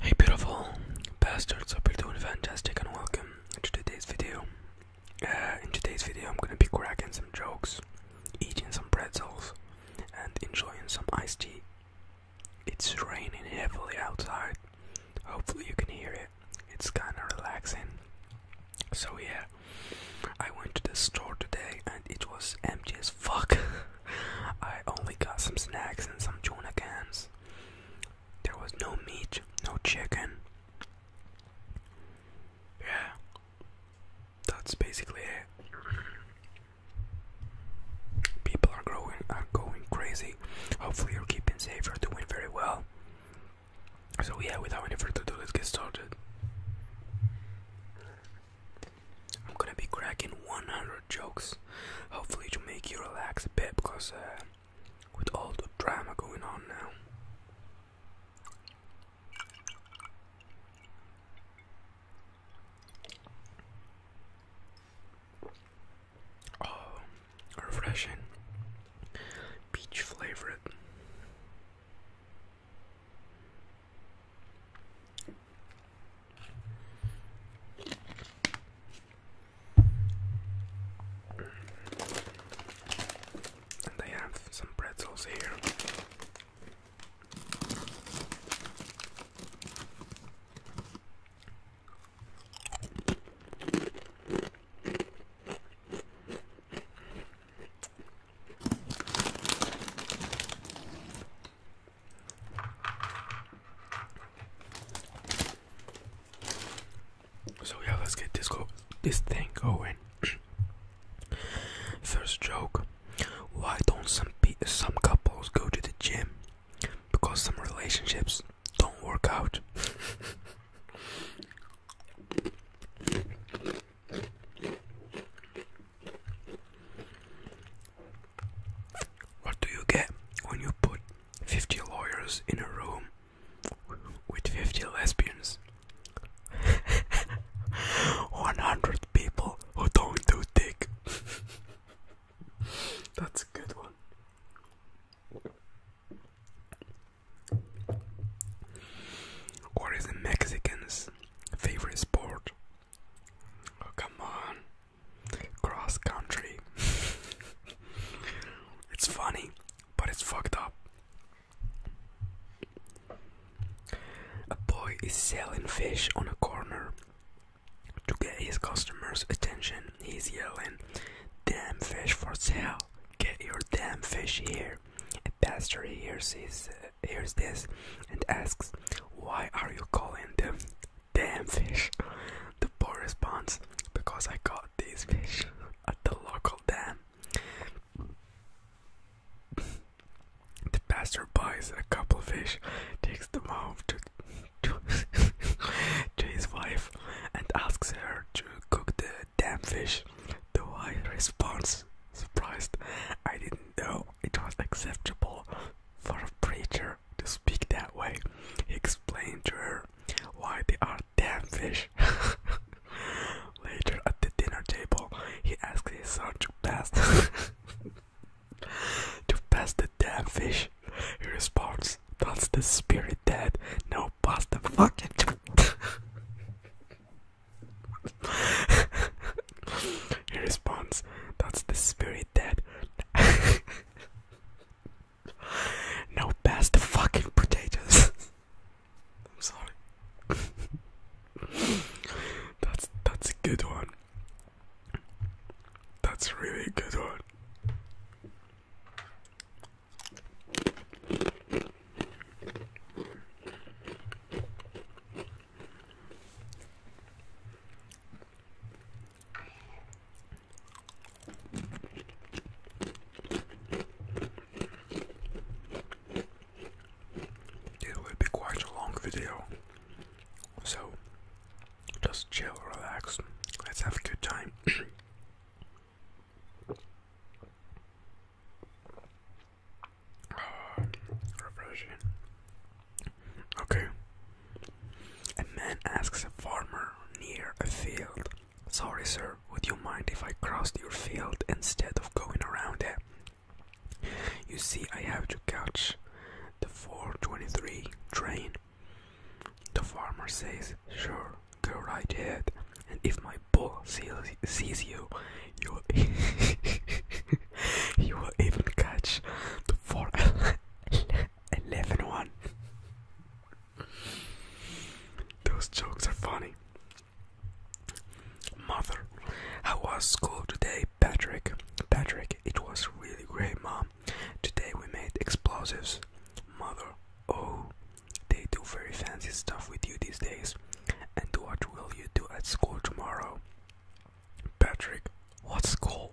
Hey beautiful bastards, hope you're doing fantastic and welcome to today's video. Uh, in today's video I'm gonna be cracking some jokes, eating some pretzels, and enjoying some iced tea. It's raining heavily outside. Hopefully you can hear it. It's kinda relaxing. So yeah, I went to the store today and it was empty as fuck. I only got some snacks and some tuna cans. There was no meat, no chicken. Yeah, that's basically it. People are growing, are going crazy. Hopefully, you're keeping safe. You're doing very well. So yeah, without any further ado, let's get started. I'm gonna be cracking 100 jokes, hopefully to make you relax a bit, because uh, with all the drama going on now. Oh, refreshing. Peach flavored. And they have some pretzels here. So yeah, let's get this go this thing going. First joke. Why don't some some couples go to the gym? Because some relationships don't work out. What do you get when you put 50 lawyers in a room with 50 lesbians? 100 people who don't do dick. That's a good one. What is the Mexican's favorite sport? Oh, come on. Cross country. it's funny, but it's fucked up. A boy is selling fish on a corner. To get his customers' attention, he's yelling, Damn fish for sale! Get your damn fish here! A pastor hears uh, this and asks, Why are you calling them damn fish. The boy responds because I got these fish at the local dam. The pastor buys a couple fish, takes them home to, to his wife, and asks her to cook the damn fish. The wife responds, surprised, I didn't know it was acceptable for a preacher to speak that way. He explained to her why they are damn fish. Later at the dinner table, he asked his son to pass to pass the damn fish. He responds, "That's the spirit, Dad. Now pass the fucking." He responds, That's the spirit, Dead. no, pass the fucking potatoes. I'm sorry. that's that's a good one. That's really good one. It will be quite a long video, so just chill, relax, let's have a good time. Ah, refreshing. Okay. A man asks a farmer near a field, Sorry, sir, would you mind if I crossed your field instead of going around it? You see, I have to catch the 423 train. The farmer says, Sure, go right ahead, and if my bull sees, sees you, you will, he will even catch the 411. 11 Those jokes are funny. Mother, how was school today, Patrick? Patrick, it was really great, Mom. Today we made explosives. Mother, oh, they do very fancy stuff with you these days. And what will you do at school tomorrow? Patrick, what's cool?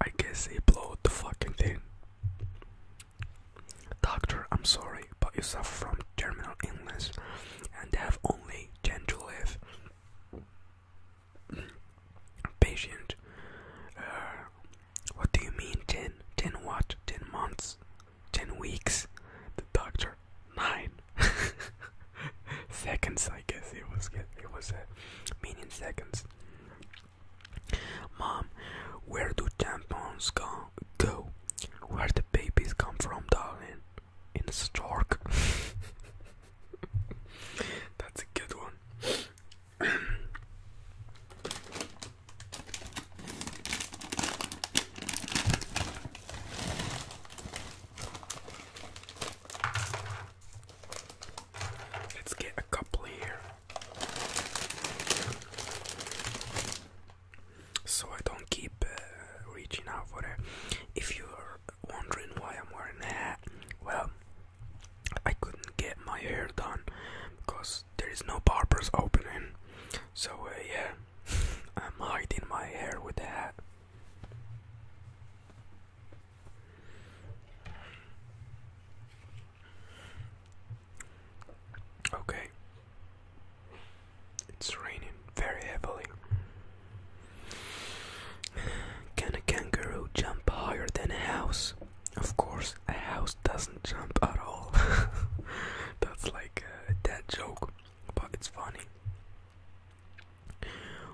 I guess he blew the fucking thing. Doctor, I'm sorry, but you suffer from terminal illness and have only 10 to live. Patient, uh, what do you mean 10? 10 what? 10 months? 10 weeks? The doctor nine seconds, I guess it was it was a uh, meaning seconds. Mom, where do tampons go? Go, where the babies come from, darling? In the stork. That's a good one. Let's get a couple here. So I don't keep uh, reaching out for it. If you're wondering why I'm wearing that, hat, well, I couldn't get my hair done because there is no barbers opening. So uh, yeah, I'm hiding my hair with that. Okay, it's raining very heavily. Can a kangaroo jump higher than a house? Of course, a house doesn't jump at all. That's like uh, a dead joke, but it's funny.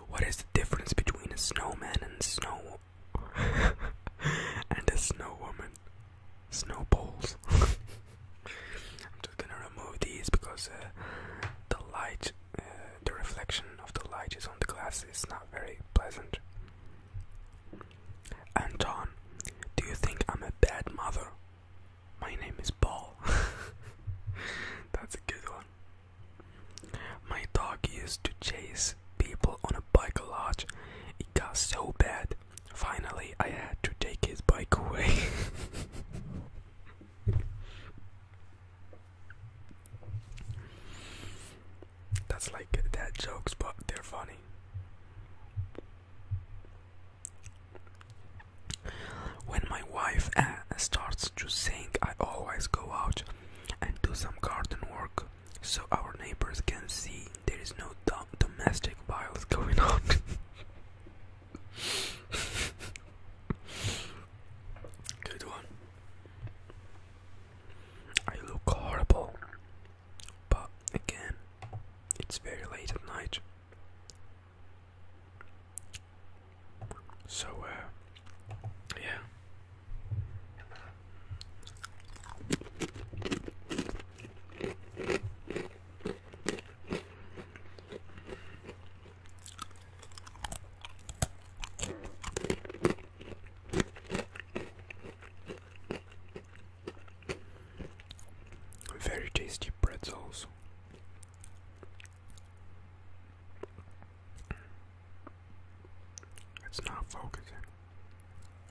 What is the difference between a snowman and snow and a snowwoman, Snowballs. I'm just gonna remove these because uh, the light, uh, the reflection of the light is on the glass is not very pleasant. Anton, do you think I'm a bad mother? My name is Paul. That's a good one. My dog used to chase people on a bike a lot. It got so bad. Finally, I had to take his bike away. That's like dad jokes, but they're funny. When my wife uh, starts to sing, I always go out and do some garden work so our neighbors can see there is no domestic violence going on. Good one. I look horrible, but again, it's very late at night. So, uh, yeah. Very tasty pretzels. It's not focusing.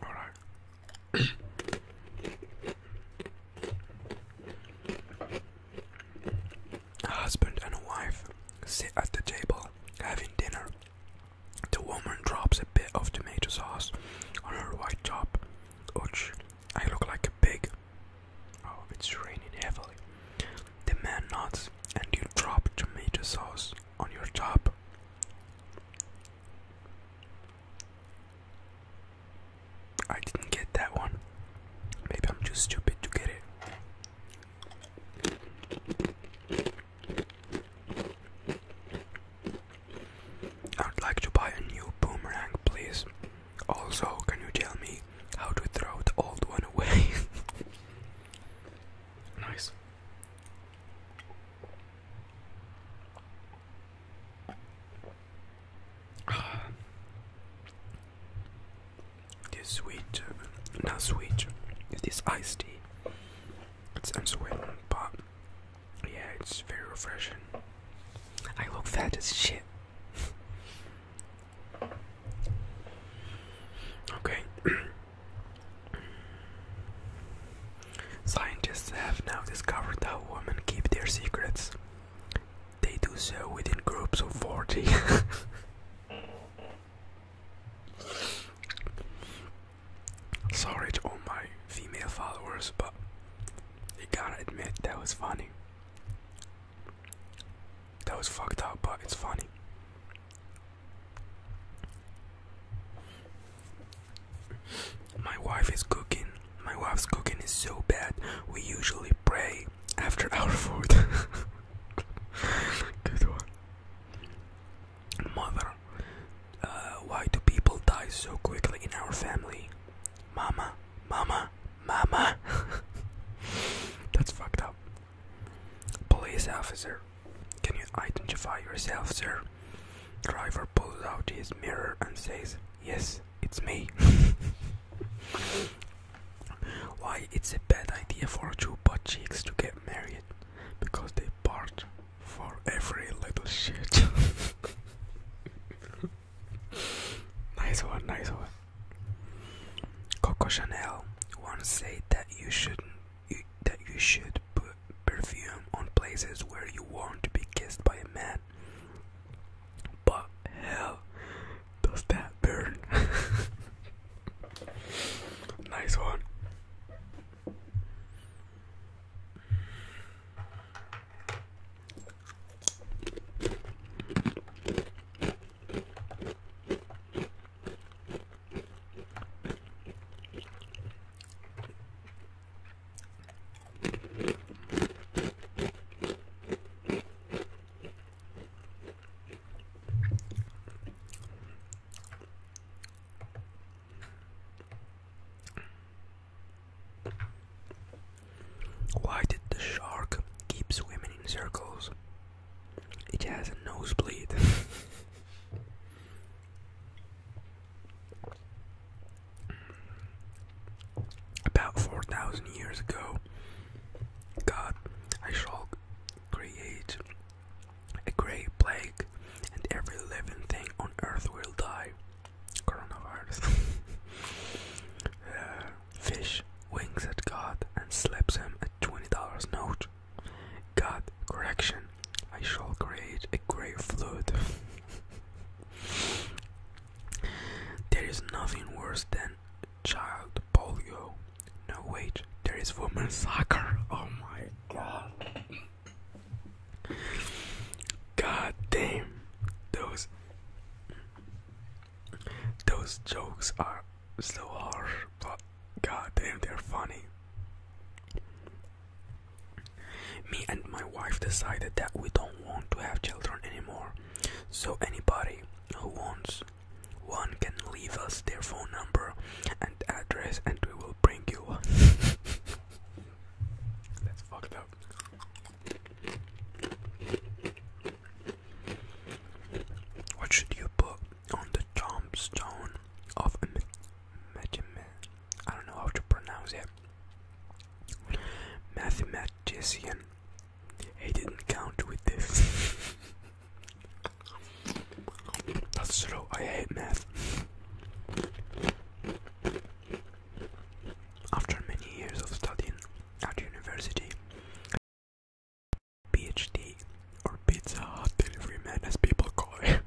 Alright. a husband and a wife sit at the table having dinner. The woman drops a bit of tomato sauce on her white top. Ouch, I look like a pig. Oh, it's raining heavily. The man nods, and you drop tomato sauce on your top. I didn't get that one. Maybe I'm too stupid to get it. I'd like to buy a new boomerang, please. Also, can you tell me how to throw the old one away? nice. This sweet, uh, not sweet, this iced tea. It's unsweet, but yeah, it's very refreshing. I look fat as shit. Okay. Scientists have now discovered how women keep their secrets. They do so within groups of 40. Sorry to all my female followers, but you gotta admit that was funny. That was fucked up, but it's funny. My wife is cooking. My wife's cooking is so bad. We usually pray after our food. Good one. Mother, uh, why do people die so quickly in our family? Mama, mama, mama. That's fucked up. Police officer, can you identify yourself, sir? Driver pulls out his mirror and says, Yes, it's me. Why it's a bad idea for two butt cheeks to get married? Because they part for every little shit. nice one, nice one. Coco Chanel once said that you shouldn't that you should put perfume on places where you want to be kissed by a man. But hell, does that burn? nice one. Why did the shark keep swimming in circles? It has a nosebleed. About 4,000 years ago, God, I shall create a great plague, and every living thing on earth will die. Coronavirus. Uh, Fish wings at God and slaps him a $20 note. God, correction, I shall create a grave flood. there is nothing worse than child polio. No, wait, there is woman soccer. Oh my god. God damn, those those jokes are so harsh, but goddamn, they're funny. Me and my wife decided that we don't want to have children anymore, so anybody who wants one can leave us their phone number and address, and we will bring you one. That's fucked up. What should you put on the tombstone of a I don't know how to pronounce it. Mathematician. He didn't count with this. That's true. I hate math. After many years of studying at university, PhD or Pizza Hut delivery man as people call it.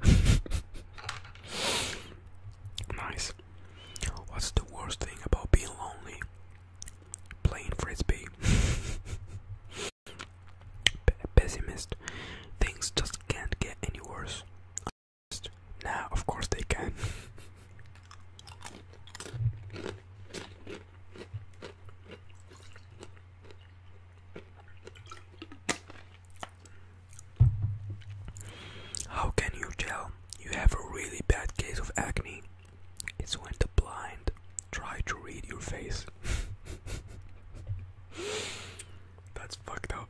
nice. What's the worst thing about being lonely? Playing frisbee. pessimist. Things just can't get any worse. Now, nah, of course they can. How can you tell you have a really bad case of acne? It's when the blind try to read your face. That's fucked up.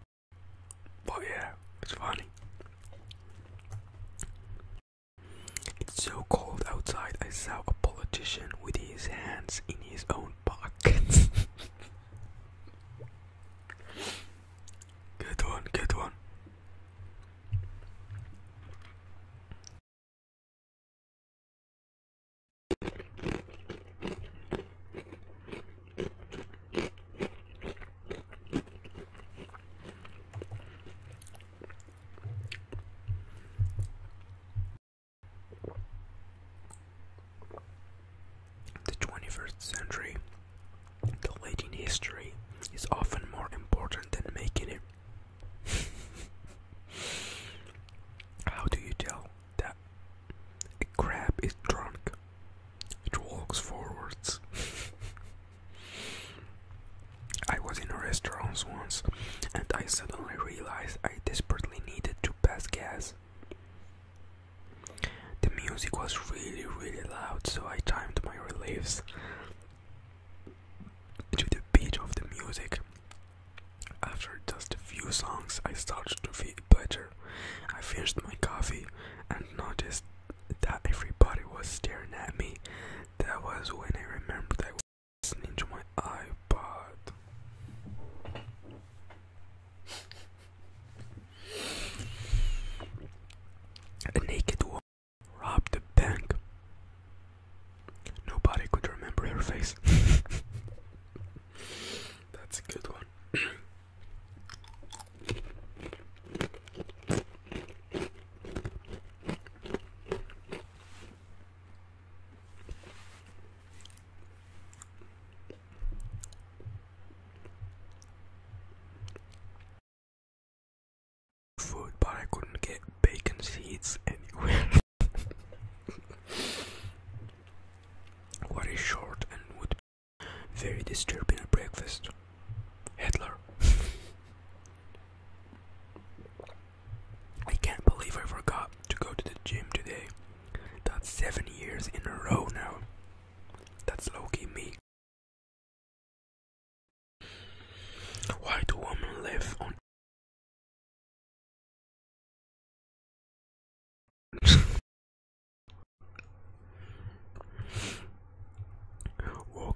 But yeah, it's funny. It's so cold outside, I saw a politician with his hands in his own pockets. good one, good one. The 21st century, deleting history, is often more important than making it. How do you tell that a crab is drunk? It walks forwards. I was in a restaurant once and I suddenly realized I desperately needed to pass gas. The music was really, really loud, so I timed my reliefs to the beat of the music. After just a few songs, I started to feel better. I finished my coffee and noticed that everybody was staring at me. That was when I remembered that listening to my iPod. A naked woman robbed a bank. Nobody could remember her face. That's a good one. Food, but I couldn't get bacon seeds anywhere. what is short and would very disturbing at breakfast? Hitler. I can't believe I forgot to go to the gym today. That's seven years in a row now. That's Loki me. Why do women live on?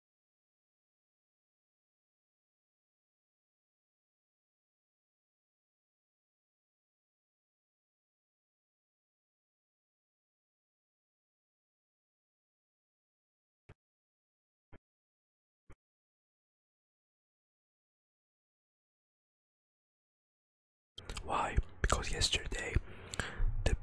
Why? Because yesterday the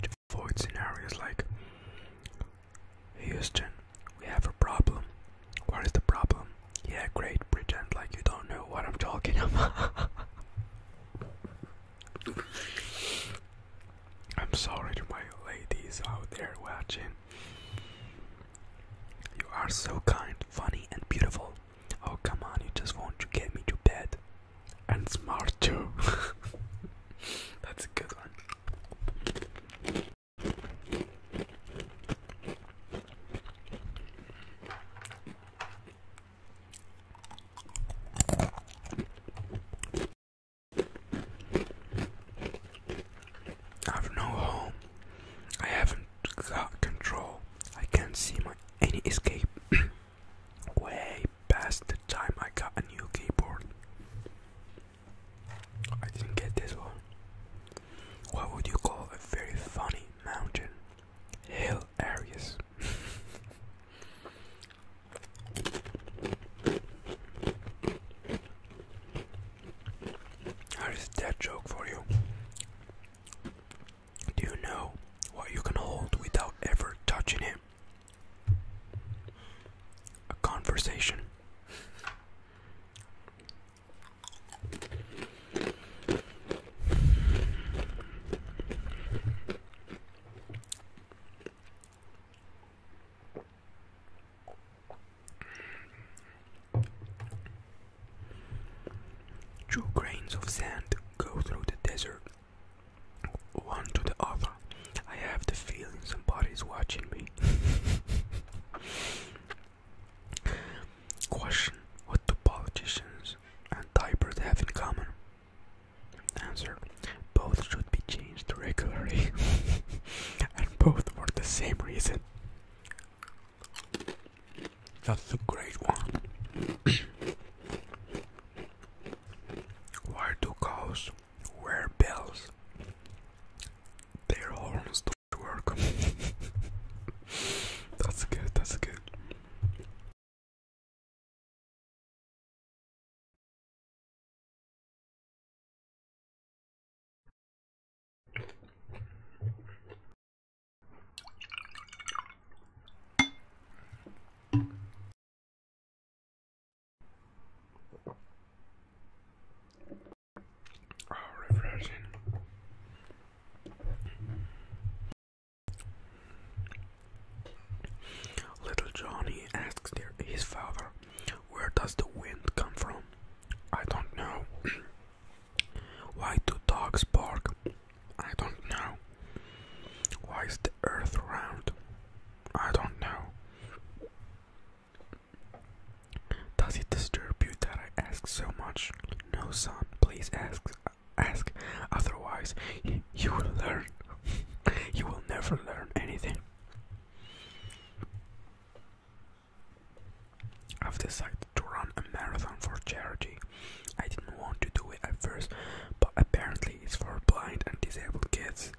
to avoid scenarios like Houston, we have a problem. What is the problem? Yeah, great, pretend like you don't know what I'm talking about. I'm sorry to my ladies out there watching. You are so kind, funny, and beautiful. Oh, come on, you just want to get me to bed. And smart too. That's a good one. I have no home. I haven't got control. I can't see my any escape. Way past the time I got a new keyboard. I didn't get this one. What would you call a very funny mountain? Hill areas. How is that joke for you? Do you know what you can hold without ever touching it? A conversation. Two grains of sand go through the desert, one to the other. I have the feeling somebody's watching me. Question What do politicians and diapers have in common? Answer both should be changed regularly and both for the same reason. That's a great one. Where do cows wear bells? Their horns don't work. that's good, that's good. Oh, refreshing. Little Johnny asks his father, where does the wind come from? I don't know. Why do dogs bark? I don't know. Why is the earth round? I don't know. Does it disturb you that I ask so much? No, son, please ask. Ask, otherwise, you will learn. you will never learn anything. I've decided to run a marathon for charity. I didn't want to do it at first, but apparently it's for blind and disabled kids.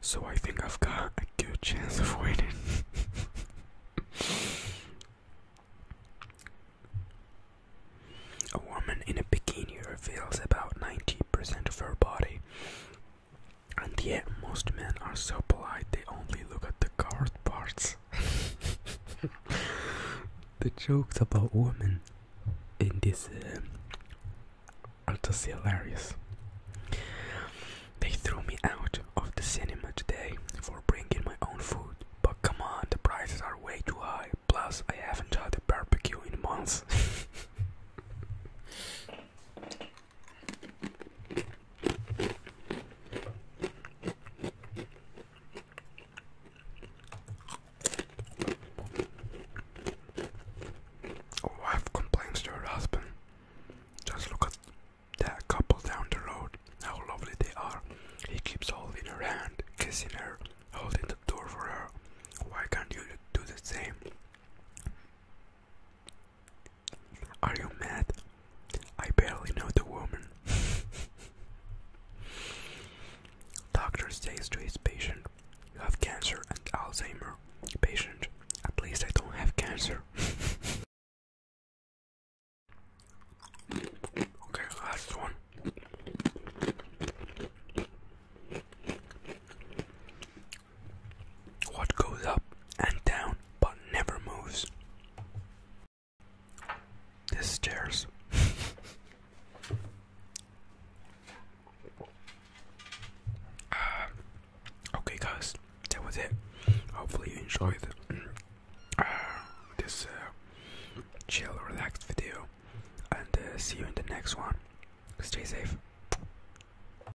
So I think I've got a good chance of winning. a woman in a bikini reveals about 90% of her body. And yet, most men are so polite they only look at the covered parts. the jokes about women in this uh, are just hilarious. They threw me out of the cinema today for bringing my own food, but come on, the prices are way too high. Plus, I haven't had a barbecue in months. A wife complains to her husband. Just look at that couple down the road, how lovely they are. He keeps holding her hand, kissing her, holding the door for her. Why can't you do the same? Are you mad? I barely know the woman. Doctor says to his patient, You have cancer and Alzheimer. Patient, at least I don't have cancer. okay, last one. What goes up and down but never moves? The stairs. Ah, okay, guys, that was it. Hopefully, you enjoyed uh, this uh, chill, relaxed video, and uh, see you in the next one. Stay safe.